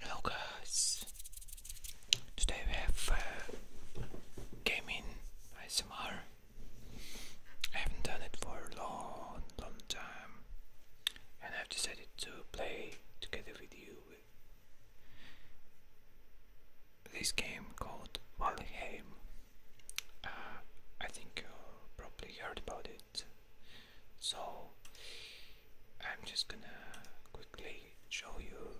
Hello guys, today we have uh, gaming ASMR. I haven't done it for a long, long time, and I've decided to play together with you this game called Valheim. Uh, I think you probably heard about it so I'm just gonna quickly show you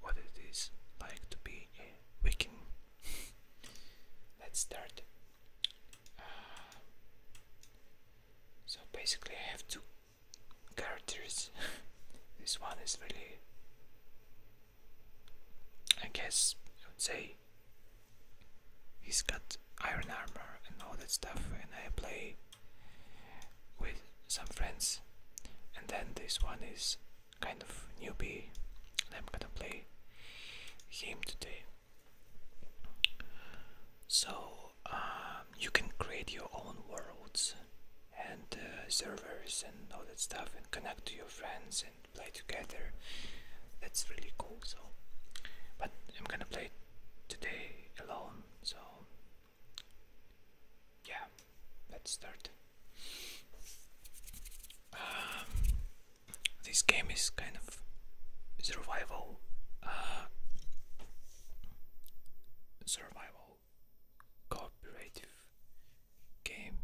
what it is like to be a Viking. Let's start. Uh, so basically, I have two characters. this one is really, I guess, I would say he's got iron armor and all that stuff, and I play with some friends. And then this one is kind of newbie. And I'm gonna play game today. So um, you can create your own worlds and uh, servers and all that stuff and connect to your friends and play together. That's really cool. So, but I'm gonna play today alone so, yeah, let's start. Um, this game is kind of survival, uh, survival cooperative game,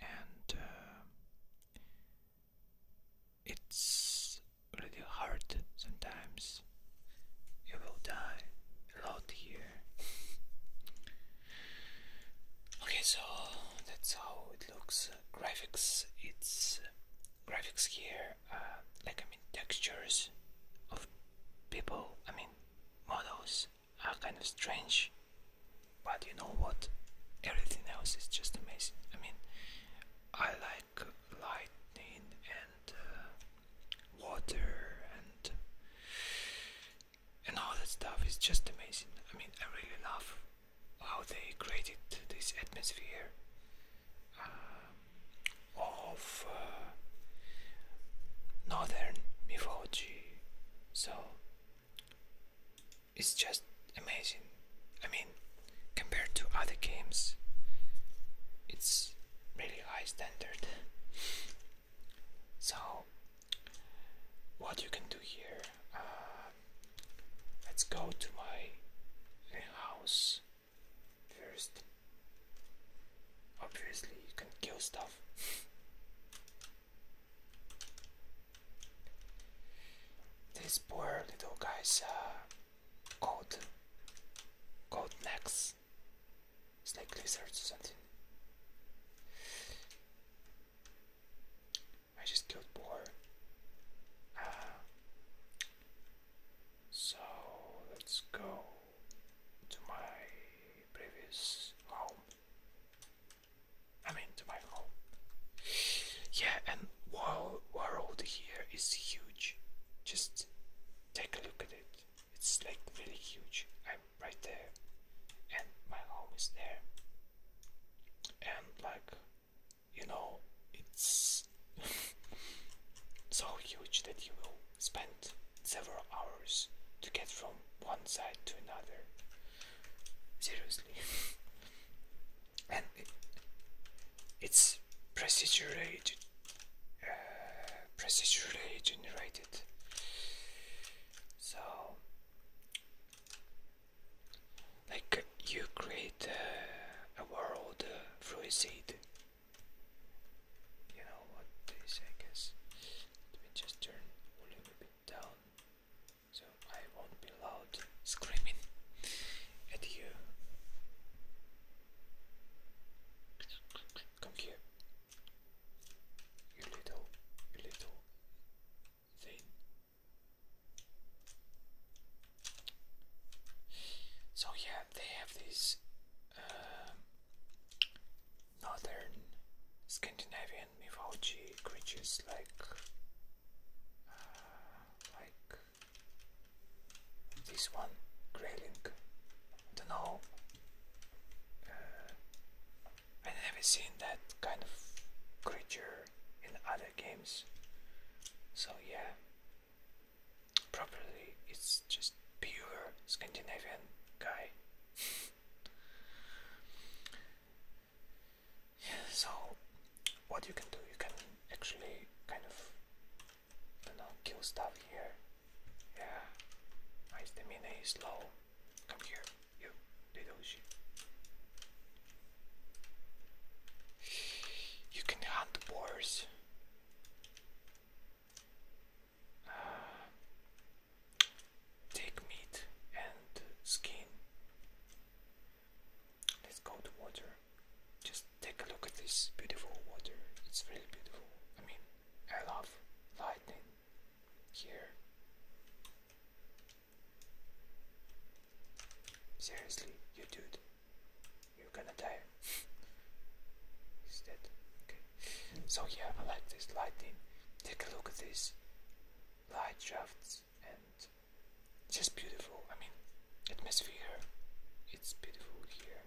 and uh, it's really hard sometimes. You will die a lot here. okay, so that's how it looks. graphics, it's graphics here, uh, like I mean, textures of people, I mean, models are kind of strange, but you know what? Everything else is just amazing. I mean, I like like lightning and uh, water and and all that stuff is just amazing. I mean, I really love how they created this atmosphere um, of uh, northern mythology. So it's just amazing. I mean, compared to other games, it's really high standard. so, what you can do here? Uh, let's go to my house first. Obviously, you can kill stuff. This poor little guys. Uh, code code necks snake lizards or something I just killed boar uh, so let's go to my previous home I mean to my home yeah and world world here is huge just Take a look at it. It's like really huge. I'm right there, and my home is there. And like, you know, it's so huge that you will spend several hours to get from one side to another. Seriously. and it, it's procedurated uh, procedurally generated. So, like you create a world uh, through a seed. You know what this I Let me just turn a little bit down so I won't be loud screaming at you. Come here. little, little thing. So yeah, they have these um, northern Scandinavian mythology creatures like, uh, like this one, Grayling. I don't know. Uh, I never seen that kind of creature in other games. So yeah, probably it's just pure Scandinavian guy. so what you can do, you can actually kind of and kill stuff here. Yeah. My stamina is low. Come here. You. Little shit. You can hunt boars. Uh, take meat and skin. Let's go to water. Just take a look at this beautiful water. It's really beautiful. I mean, I love lightning here. Seriously, you dude, you're gonna die. He's dead. Okay. So yeah, I like this lightning. Take a look at this light shafts and just beautiful. I mean, atmosphere. It's beautiful here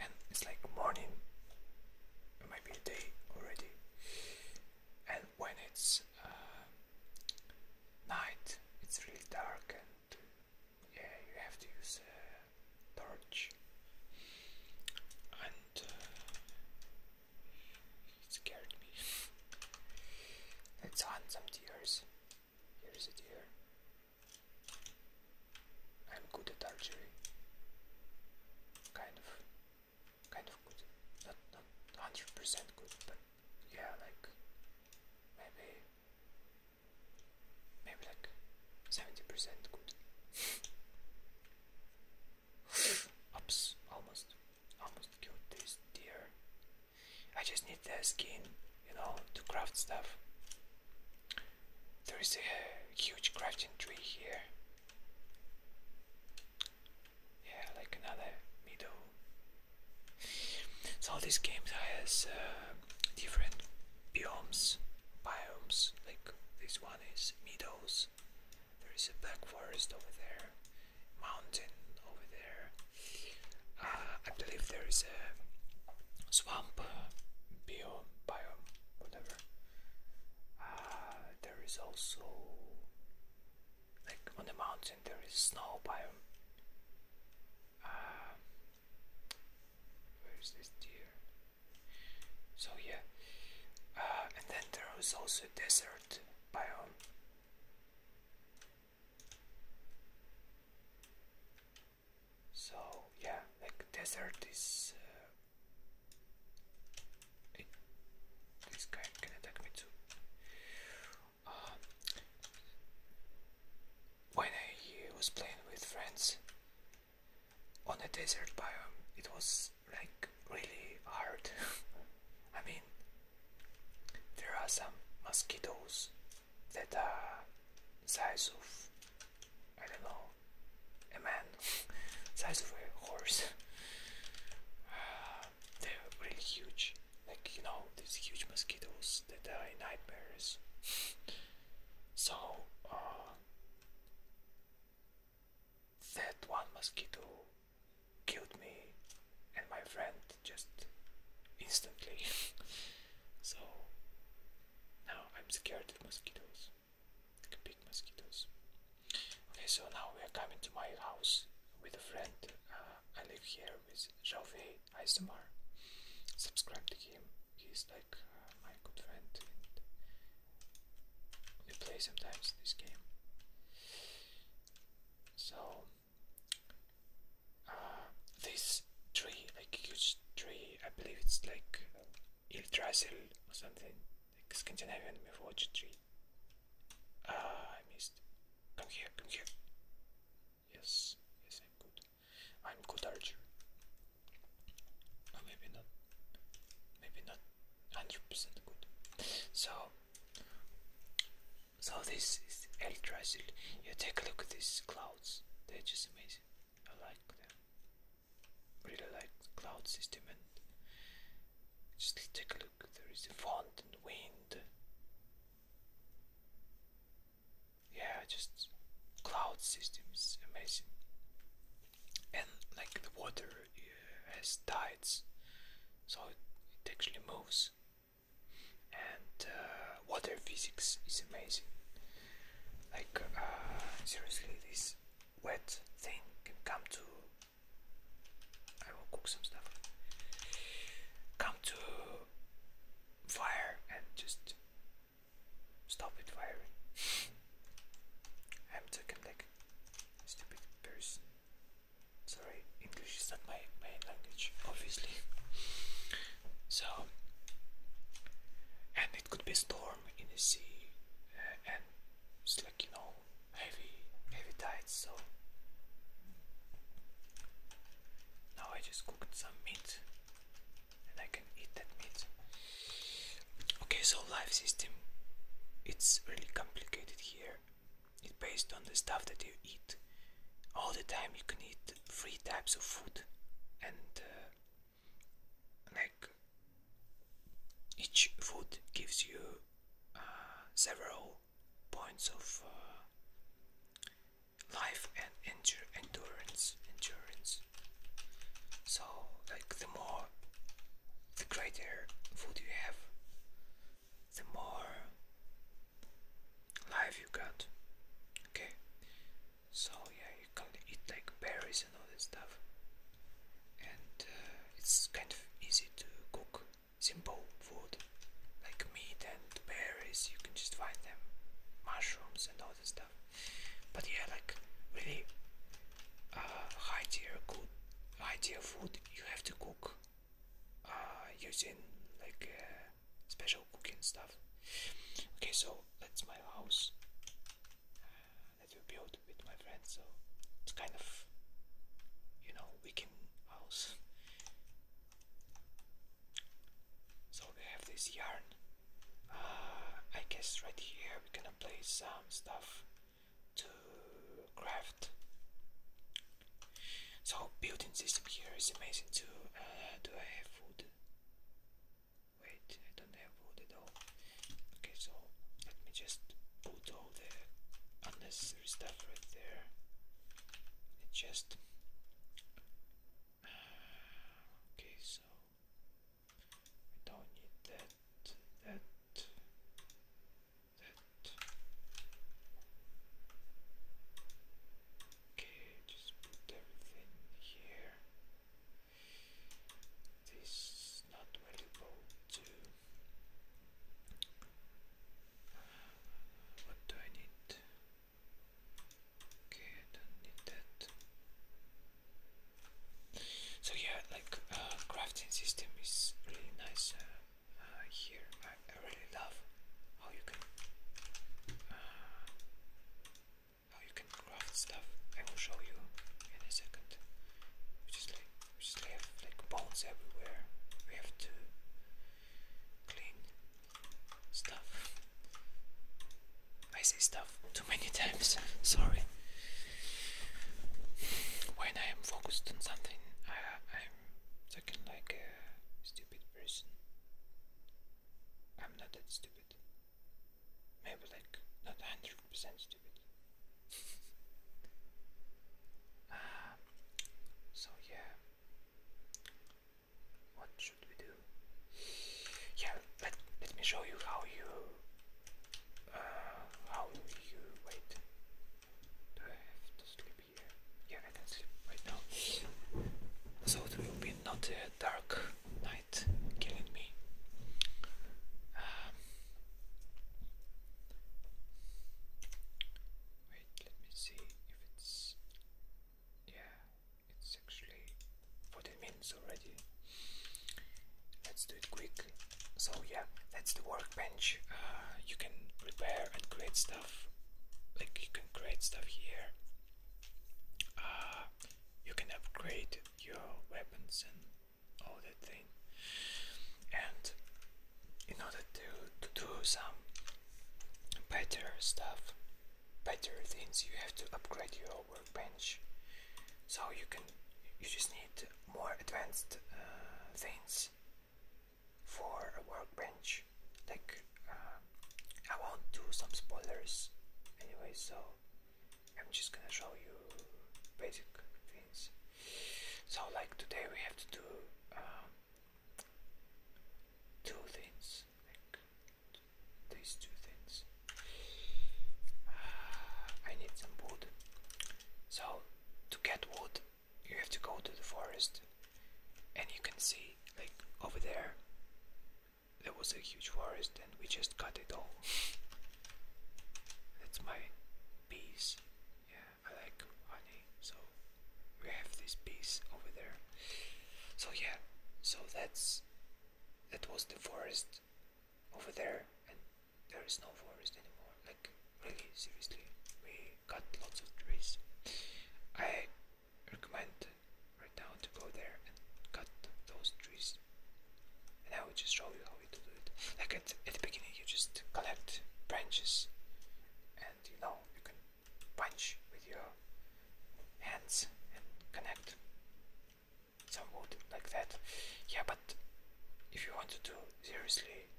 and it's like morning it might be day already and when it's uh, night it's really dark and yeah you have to use a torch and uh, it scared me let's hunt some deer. here's a deer I'm good at archery. Kind of, kind of good. Not not hundred percent good, but yeah, like maybe, maybe like seventy percent good. Oops! Almost, almost killed this deer. I just need the skin, you know, to craft stuff. There is a huge crafting tree here. Yeah, like another middle. So this game has uh, different biomes, biomes. Like this one is meadows. There is a black forest over there, mountain over there. Uh, I believe there is a swamp uh, biome, biome, whatever. Uh, there is also like on the mountain there is snow biome. Uh, where is this deer? So yeah, uh, and then there is also a desert biome. So yeah, like desert is. Uh, this guy can attack me too. Um, when I was playing with friends on a desert biome, it was like really hard. I mean, there are some mosquitoes that uh, size of I don't know a man size of a horse they're really huge like you know these huge mosquitoes that are nightmares so uh, that one mosquito killed me and my friend just instantly so now I'm scared of mosquitoes. big mosquitoes. Okay, so now we are coming to my house with a friend. Uh, I live here with Jalvey Isomar. Subscribe to him. He's like uh, my good friend. And we play sometimes this game. So this tree, like huge tree. I believe it's like Yggdrasil or something, like Scandinavian mythology tree. Ah, I missed. Come here, come here. Yes, yes, I'm good. I'm good archer. maybe not. Maybe not. Hundred percent good. So, so this is Yggdrasil. You take a look at these clouds. They're just amazing. I like them. Really like cloud system and just take a look. There is a font and wind. Yeah, just cloud system is amazing. And like the water uh, has tides, so it, it actually moves. And uh, water physics is amazing. Like, uh, seriously, this wet thing can come to. I will cook some stuff. Come to fire and just stop it firing. I'm talking like stupid person. Sorry, English is not my main language, obviously. So, and it could be storm in the sea, uh, and it's like you know heavy, heavy tides. So now I just cooked some meat, and I can eat that meat. Okay, so life system, it's really complicated here. It's based on the stuff that you eat. All the time you can eat three types of food, and uh, like each food gives you uh, several points of uh, life and endure endurance endurance so like the more the greater food you have the more life you got okay so yeah, you can eat like berries and all that stuff. And uh, it's kind of easy to cook simple food like meat and berries. You can just find them, mushrooms and all that stuff. But yeah, like really uh, high tier good, high tier food. You have to cook uh, using like uh, special cooking stuff. Okay, so that's my house uh, that we built with my friends. So it's kind of, you know, weekend house. So we have this yarn. Uh, I guess right here we're gonna place some stuff to craft. So building system here is amazing too. Uh, do I have food? Wait, I don't have wood at all. Okay, so let me just put all the unnecessary stuff right there. It just. Uh, okay, so we don't need that, that, that. Okay, just put everything here. This is not valuable to. What do I need? Okay, I don't need that. So yeah, like uh, crafting system is really nice uh, uh, here. I, really love how you can how you can craft stuff. I will show you in a second. We just have like bones everywhere. We have to clean stuff. I say stuff too many times. Sorry. When I am focused on something, I, am talking like a stupid person. I'm not that stupid. Maybe like not 100% stupid. um, so yeah, what should we do? Yeah, let let me show you how you uh, how you wait. Do I have to sleep here? Yeah, I can sleep right now. So it will be not a uh, dark night night, killing me. Um, wait, let me see if it's. Yeah, it's actually 14 minutes already. Let's do it quick. So, yeah, that's the workbench. Uh, you can repair and create stuff. Like, you can create stuff here. Uh, you can upgrade your weapons and all that thing and in order to, to do some better stuff better things you have to upgrade your workbench so you can you just need more advanced uh, things for a workbench like uh, I won't do some spoilers anyway so I'm just gonna show you basic things. So, like today, we have to do um, two things, like these two things. Uh, I need some wood. So, to get wood, you have to go to the forest, and you can see, like over there, there was a huge forest and we just cut it all. That's my piece. Yeah, I like honey, so we have this piece over there. So yeah, so that's that was the forest over there and there is no forest anymore. Like really seriously, we cut lots of trees. I recommend right now to go there and cut those trees. And I will just show you how we do it. Like at, at the beginning, you just collect branches, and you know you can punch with your hands and connect some wood like that. Yeah, but if you want to do seriously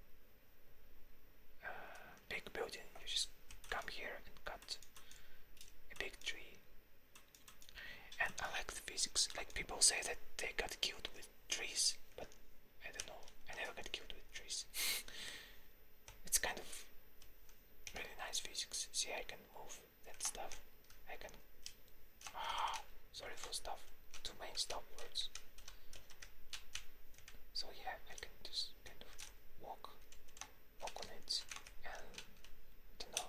uh, big building, you just come here and cut a big tree and I like the physics. Like people say that they got killed with trees, but I don't know. I never got killed with trees. it's kind of really nice physics. See, I can move that stuff. I can. Ah, sorry for stuff. Too many stop words. So yeah, I can just kind of walk, walk on it and no,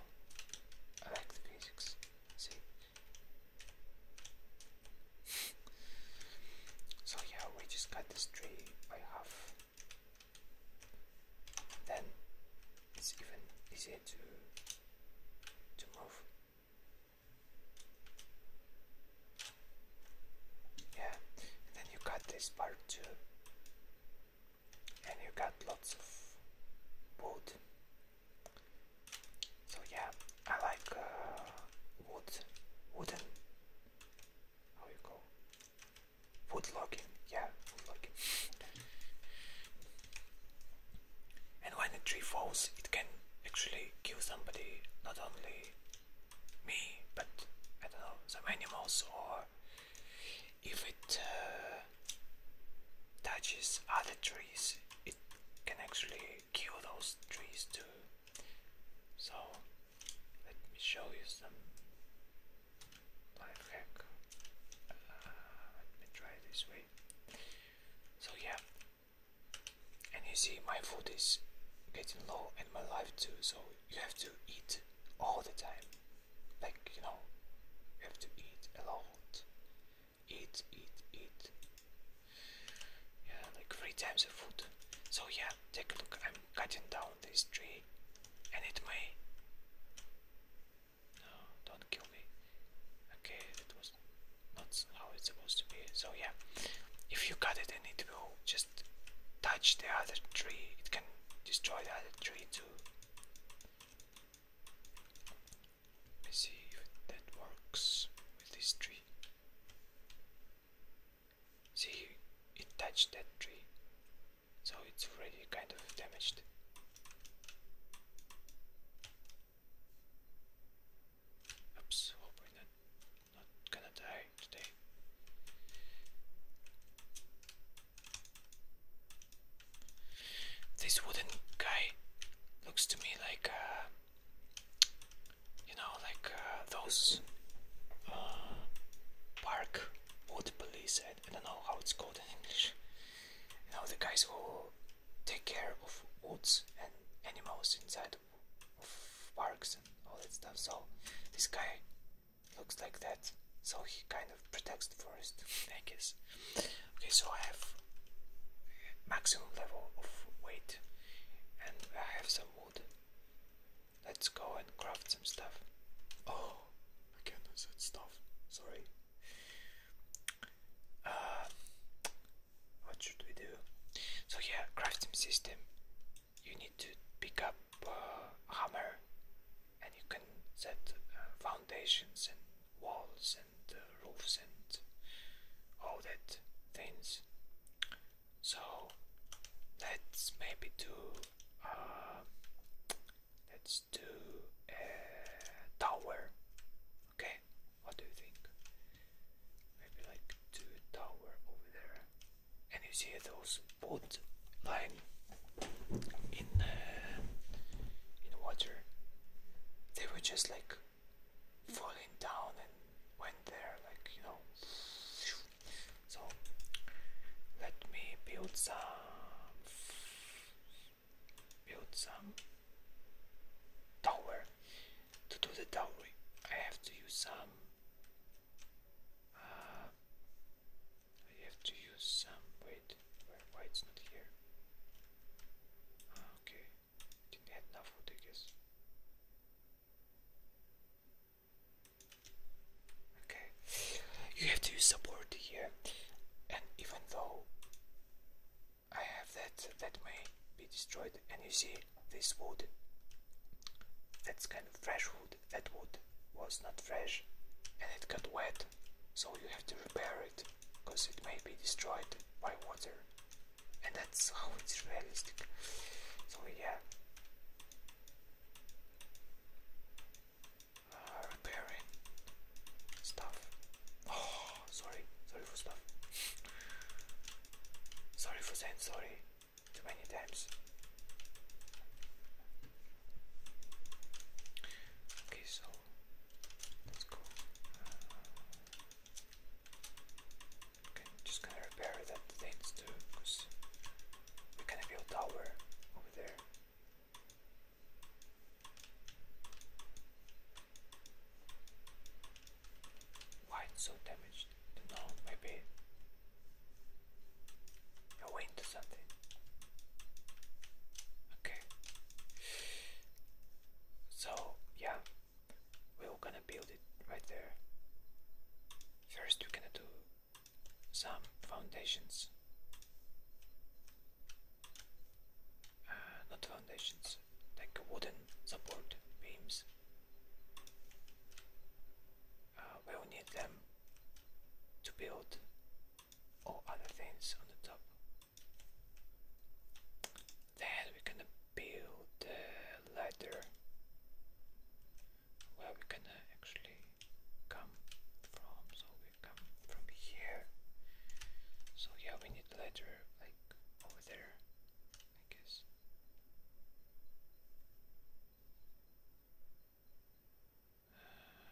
I like the physics. See. so yeah, we just cut this tree by half. Then it's even easier to to move. Yeah, and then you cut this part too and you got lots of wood. So yeah, I like uh, wood, wooden. How you call wood logging? Yeah, wood logging. and when a tree falls, it can actually kill somebody. Not only me, but I don't know some animals or if it uh, touches other trees it can actually kill those trees too so let me show you some life hack uh, let me try this way so yeah and you see my food is getting low and my life too so you have to eat all the time like, you know, you have to eat a lot. Eat, eat, eat. Yeah, like three times the food. So yeah, take a look. I'm cutting down this tree and it may No, don't kill me. Okay, that was not how it's supposed to be. So yeah, if you cut it and it will just touch the other tree, it can destroy the other tree too. Let's see if that works with this tree. See, it touched that tree, so it's already kind of damaged. Oops, hope we not gonna die today. This wooden guy looks to me like, uh, you know, like uh, those uh, park wood police. I, I don't know how it's called in English. You know, the guys who take care of woods and animals inside of parks and all that stuff. So this guy looks like that. So he kind of protects the forest, I guess. Okay, so I have maximum level of weight and I have some wood. Let's go and craft some stuff. Oh, I can't said stuff. Sorry. Uh, what should we do? So yeah, crafting system. You need to pick up hammer, and you can set uh, foundations and walls and uh, roofs and all that things. So let's maybe do uh, let's do a tower. Okay, what do you think? Maybe like do a tower over there, and you see those wood line in uh, in water, they were just like falling down and went there, like you know. So let me build some, build some tower. To do the tower, I have to use some. Uh, I have to use some. Wait, why, it's not here? Ah, okay, didn't enough food, I guess. Okay, you have to use support here, and even though I have that, that may be destroyed, and you see this wood. That's kind of fresh wood. That wood was not fresh, and it got wet so you have to repair it, because it may be destroyed by water. And that's how it's realistic. So yeah. Uh, repairing stuff. Oh, sorry, sorry for stuff. sorry for saying sorry too many times. Okay, so that's cool. Uh, okay, just gonna repair that things too, because we're gonna build tower over there. Why so damaged? Don't know, maybe a wind or something. Okay. So yeah, we're gonna build it right there. First we're gonna do some foundations. Uh, not foundations, like wooden support beams. Uh, we'll need them to build or other things on the top. Then we're gonna build the ladder where we're gonna actually come from. So we come from here. So yeah, we need ladder like over there, I guess. Uh,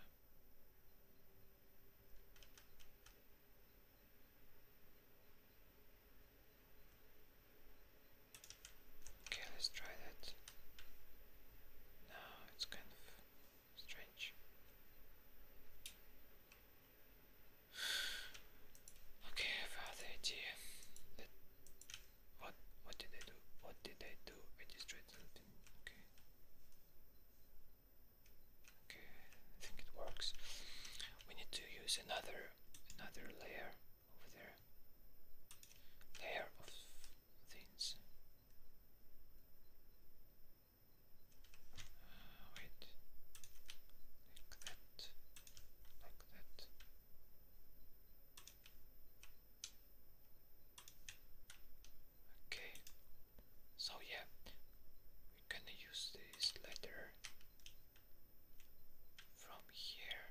Okay, let's try that. Now it's kind of strange. Okay, I idea. what what did I do? What did I do? I something. Okay. Okay, I think it works. We need to use another another layer over there. Layer of things. Uh, wait, like that, like that. Okay, so yeah, we're gonna use this letter from here.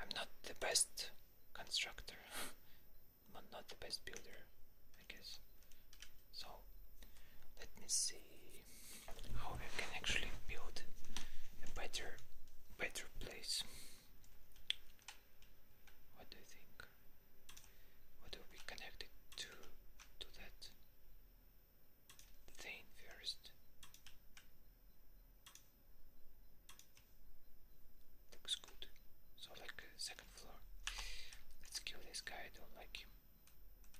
I'm not the best constructor, but not the best builder, I guess. So let me see how we can actually build a better, better place. What do you think? What do we connect it to? To that thing first. Looks good. So like uh, second floor. Let's kill this guy, I don't like him.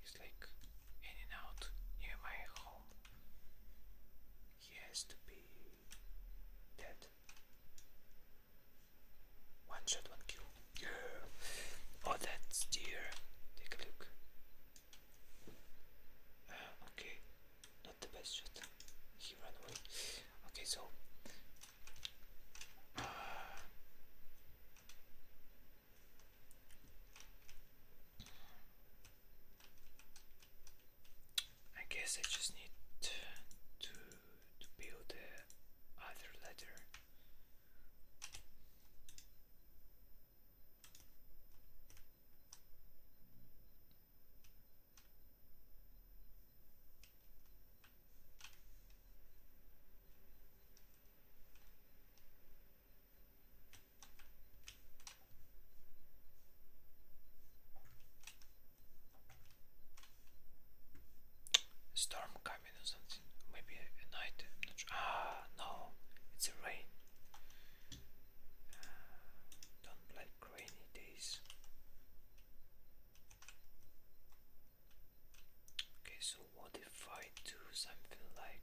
He's like in and out near my home. He has to be dead. One shot, one kill. Yeah. Oh, that's deer. Take a look. Ah, okay, not the best shot. He ran away. Okay, so. Uh, I guess I just need to, to build the other ladder storm coming something. Maybe night. Ah, no, it's a rain. Uh, don't like rainy days. Okay, so what if I do something like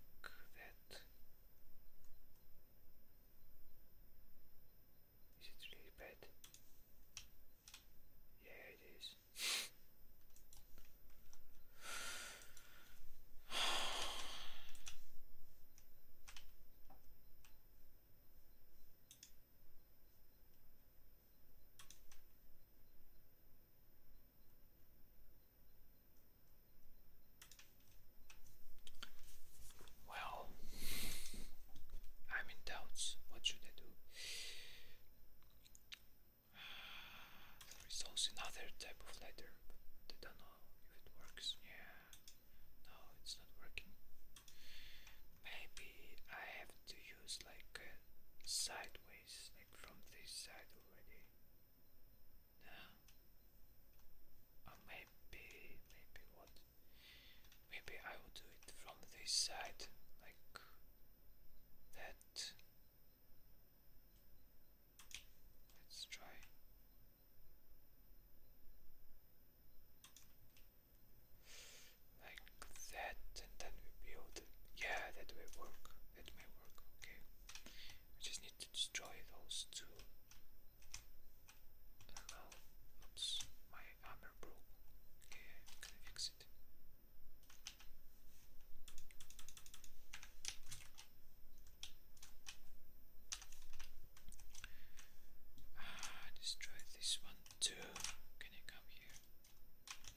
that? Is it really bad? Yeah, it is. Well, I'm in doubts. What should I do? There is another type of letter, but don't know if it works. Yeah. No, it's not working. Maybe I have to use like uh, sideways, like from this side already. No. Or maybe, maybe what? Maybe I will do it from this side, like that. Let's try. Like that, and then we build. Yeah, that will work. That may work. Okay. We just need to destroy those two. Hello. my armor broke. Okay, I'm gonna fix it. Ah, let this one too. Can you come here?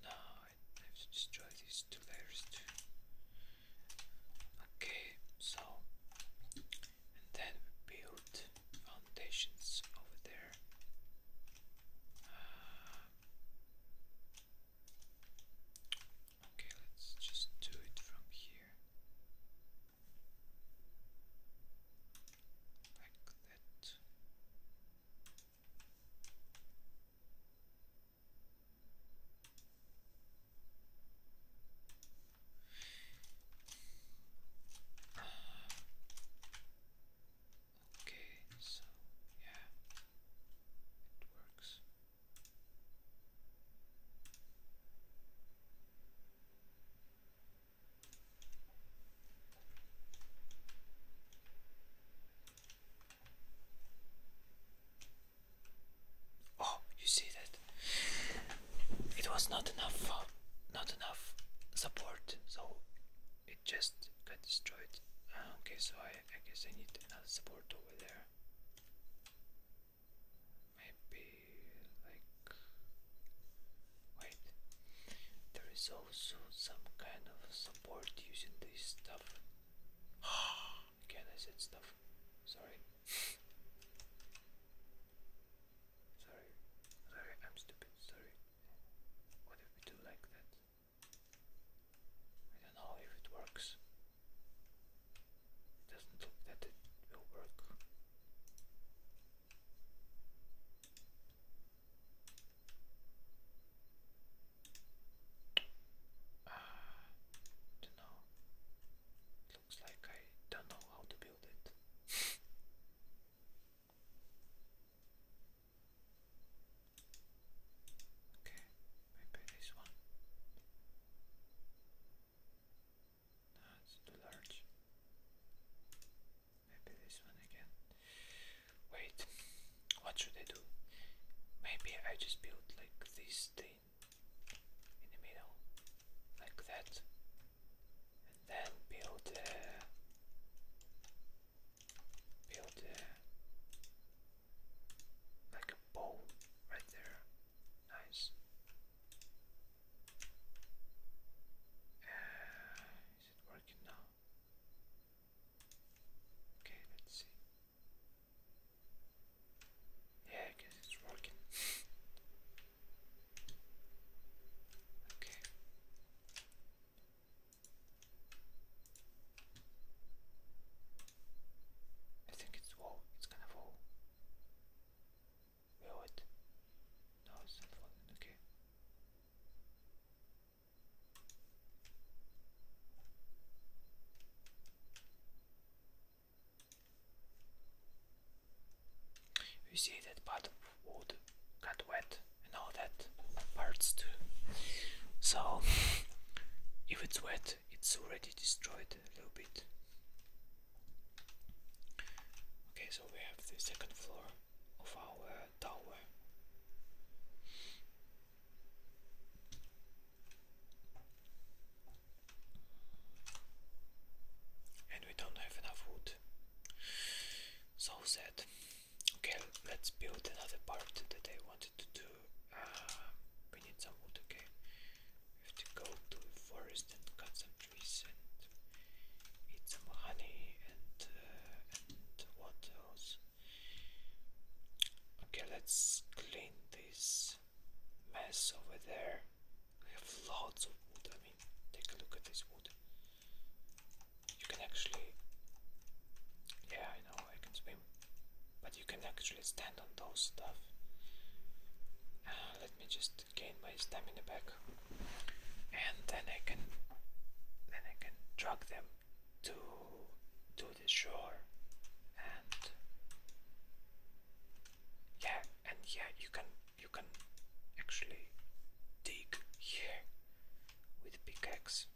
No, I have to destroy these two layers too. Okay, so and then build foundations over there. Ah. okay, let's just do it from here like that. Okay, so yeah, it works. Oh, you see that it was not enough, not enough support, so it just got destroyed. Ah, okay, so I, I guess I need another support over there maybe like wait there is also some kind of support using this stuff again I said stuff sorry sorry sorry I'm stupid sorry what if we do like that I don't know if it works doesn't look that it will work. Uh, ah, don't know. looks like I don't know how to build it. okay, maybe this one. No, it's too large. Maybe this one again. Wait, what should I do? Maybe I just build like this thing in the middle, like that, and then build a build a like a bowl right there. Nice is it working now? Okay, let's see. Yeah, I guess it's working. okay. I think it's whoa, it's gonna fall. Wait, what? No, it's unfolding, okay. You see that part of wood got wet and all that parts too. So if it's wet it's already destroyed a little bit. Okay, so we have the second floor of our tower. And we don't have enough wood. So sad. Okay, let's build another part that I wanted to do. Uh, we need some wood, okay? We have to go to the forest and cut some trees and eat some honey and and what else? Okay, let's clean this mess over there. We have lots of wood. I mean, take a look at this wood. You can actually, yeah, I know I can swim, but you can actually stand on those stuff. Uh, let me just gain my stamina back, and then I can then I can drag them to to the shore, and yeah, and yeah, you can you can actually dig here with pickaxe.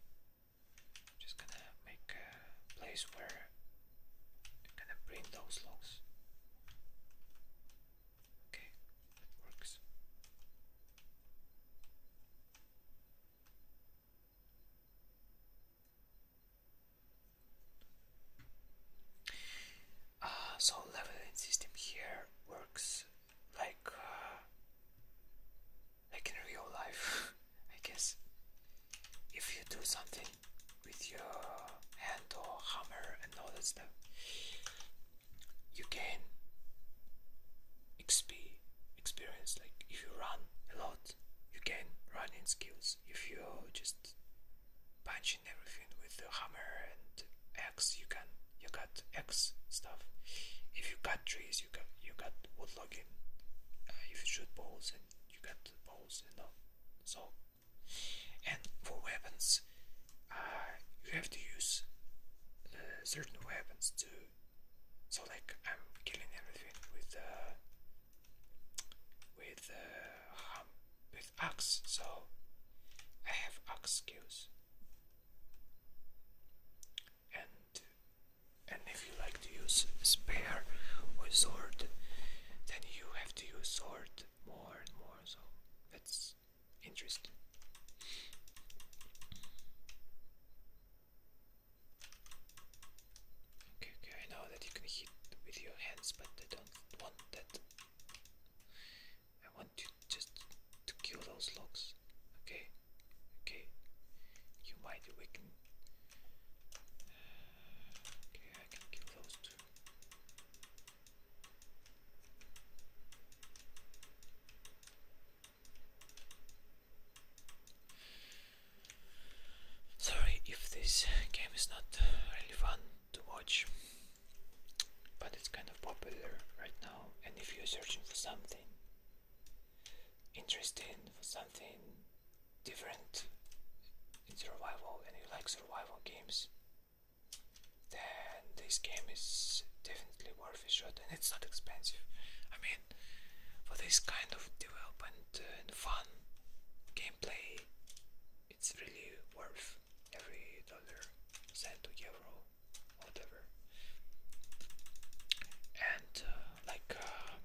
I'm just gonna make a place where I'm gonna bring those logs Okay, works. Uh, so leveling system here works like uh, like in real life, I guess. If you do something with your hand or hammer and all that stuff, you can XP experience. Like if you run a lot, you gain running skills. If you just punching everything with the hammer and axe, you can you got axe stuff. If you cut trees, you got you got wood logging. Uh, if you shoot balls, and you got balls, you know. So and for weapons, uh, you have to use uh, certain weapons to. So like I'm killing everything with uh, with uh, um, with axe. So I have axe skills. And and if you like to use spear or sword, then you have to use sword more and more. So that's interest okay okay I that you can hit with your hands but I don't want that I want to just to kill those logs okay okay you might awaken uh, okay I can kill those two Sorry if this game is not really fun to watch, but it's kind of popular right now, and if you're searching for something interesting, for something different in survival, and you like survival games, then this game is definitely worth a shot and it's not expensive. I mean, for this kind of development and fun gameplay, it's really worth every dollar, cent, euro, whatever. And uh, like uh,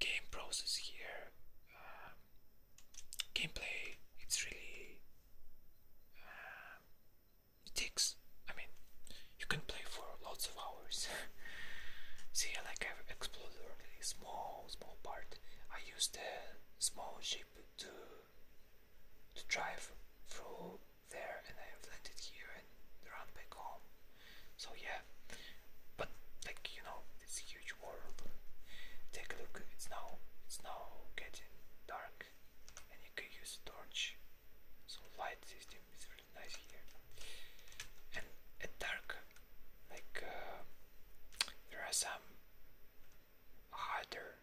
game process here, uh, gameplay it's really um, it takes I mean you can play for lots of hours see like I've explored a small small part I used the small ship to to drive through there and I've landed here and run back home so yeah but like you know this huge world. Take a look, it's now it's now getting dark and you can use a torch. So light system is really nice here. And at dark like uh, there are some harder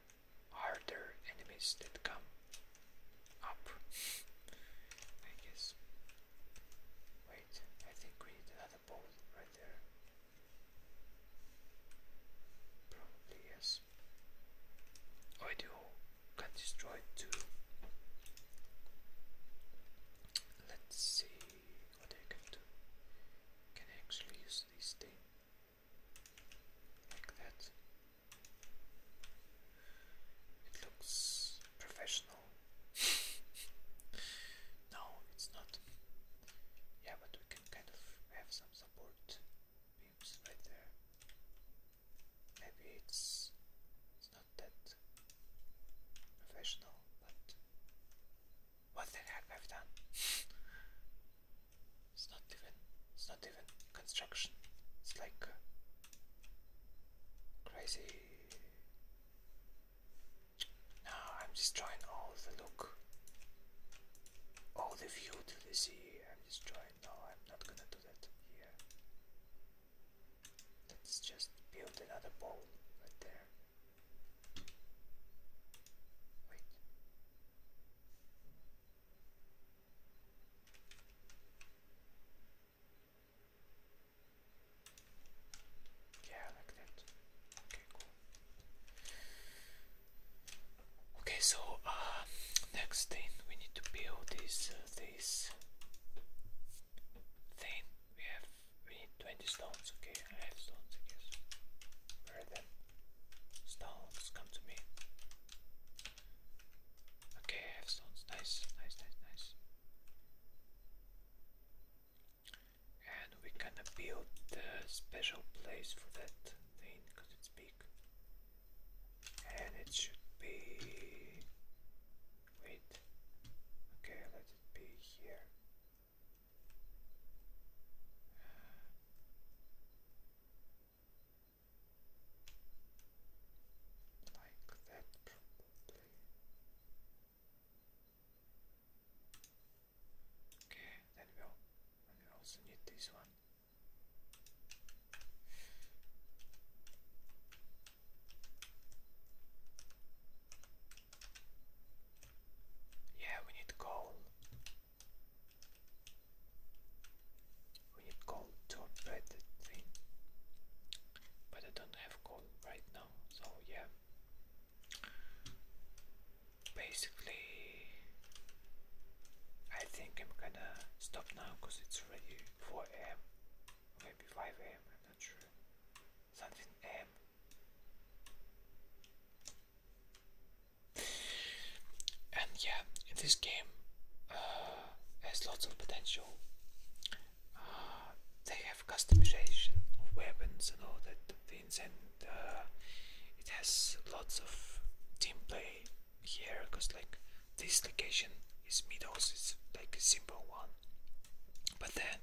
harder enemies that come up I guess. Wait, I think we need another bowl right there. Probably yes. Oh, I do got destroyed too. Let's see what I can do. Can actually use this thing like that? It looks professional. no, it's not. Yeah, but we can kind of have some support beams right there. Maybe it's it's not that professional, but what the heck I've done? it's not even it's not even construction. It's like crazy. Now I'm destroying all the look. Oh, the view to the sea. I'm just trying. No, I'm not gonna do that here. Let's just build another bowl right there. Wait. Yeah, like that. Okay, so uh, next thing we need to build is uh, this thing. We have we need twenty stones. Okay, I have stones. I guess. Where are Stones, come to me. Okay, I have stones. Nice, nice, nice, nice and we kind of build a special place for that thing because it's big and it should be wait okay let it be here uh, like that probably Okay, then we'll and also need this one. Yeah, we need coal. We need coal to operate that thing. But I don't have coal right now, so yeah basically, I think I'm gonna stop now because it's already 4 am, maybe 5 am, not sure. Something am. And yeah, in this game, uh, there's lots of potential. Uh, they have customization of weapons and all that things, and uh, it has lots of team play here because like this location is Meadows, it's like a simple one. But then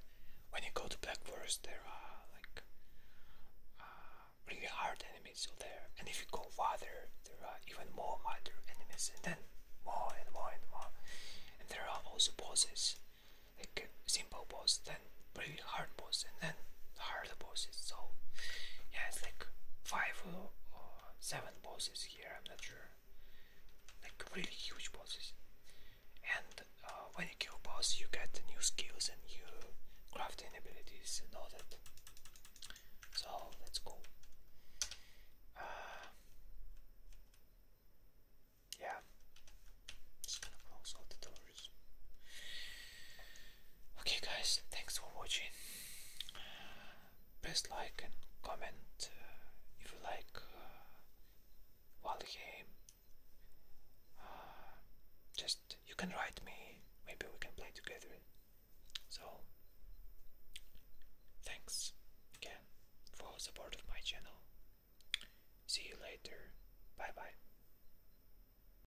when you go to Black Forest, there are like uh, really hard enemies out there, and if you go farther, there are even more harder enemies, and then more and more and more. And there are also bosses, like simple bosses then really hard boss and then harder bosses. So yeah, it's like five or, seven bosses here. I'm not sure. Like really huge bosses. And uh, when you kill bosses, you get new skills and new crafting abilities and all that. So let's go. Uh, yeah, Okay, guys, thanks for watching. Press like and comment uh, if you like uh, game. Uh, just you can write me, maybe we can play together. So, thanks again for support of my channel. See you later. Bye bye.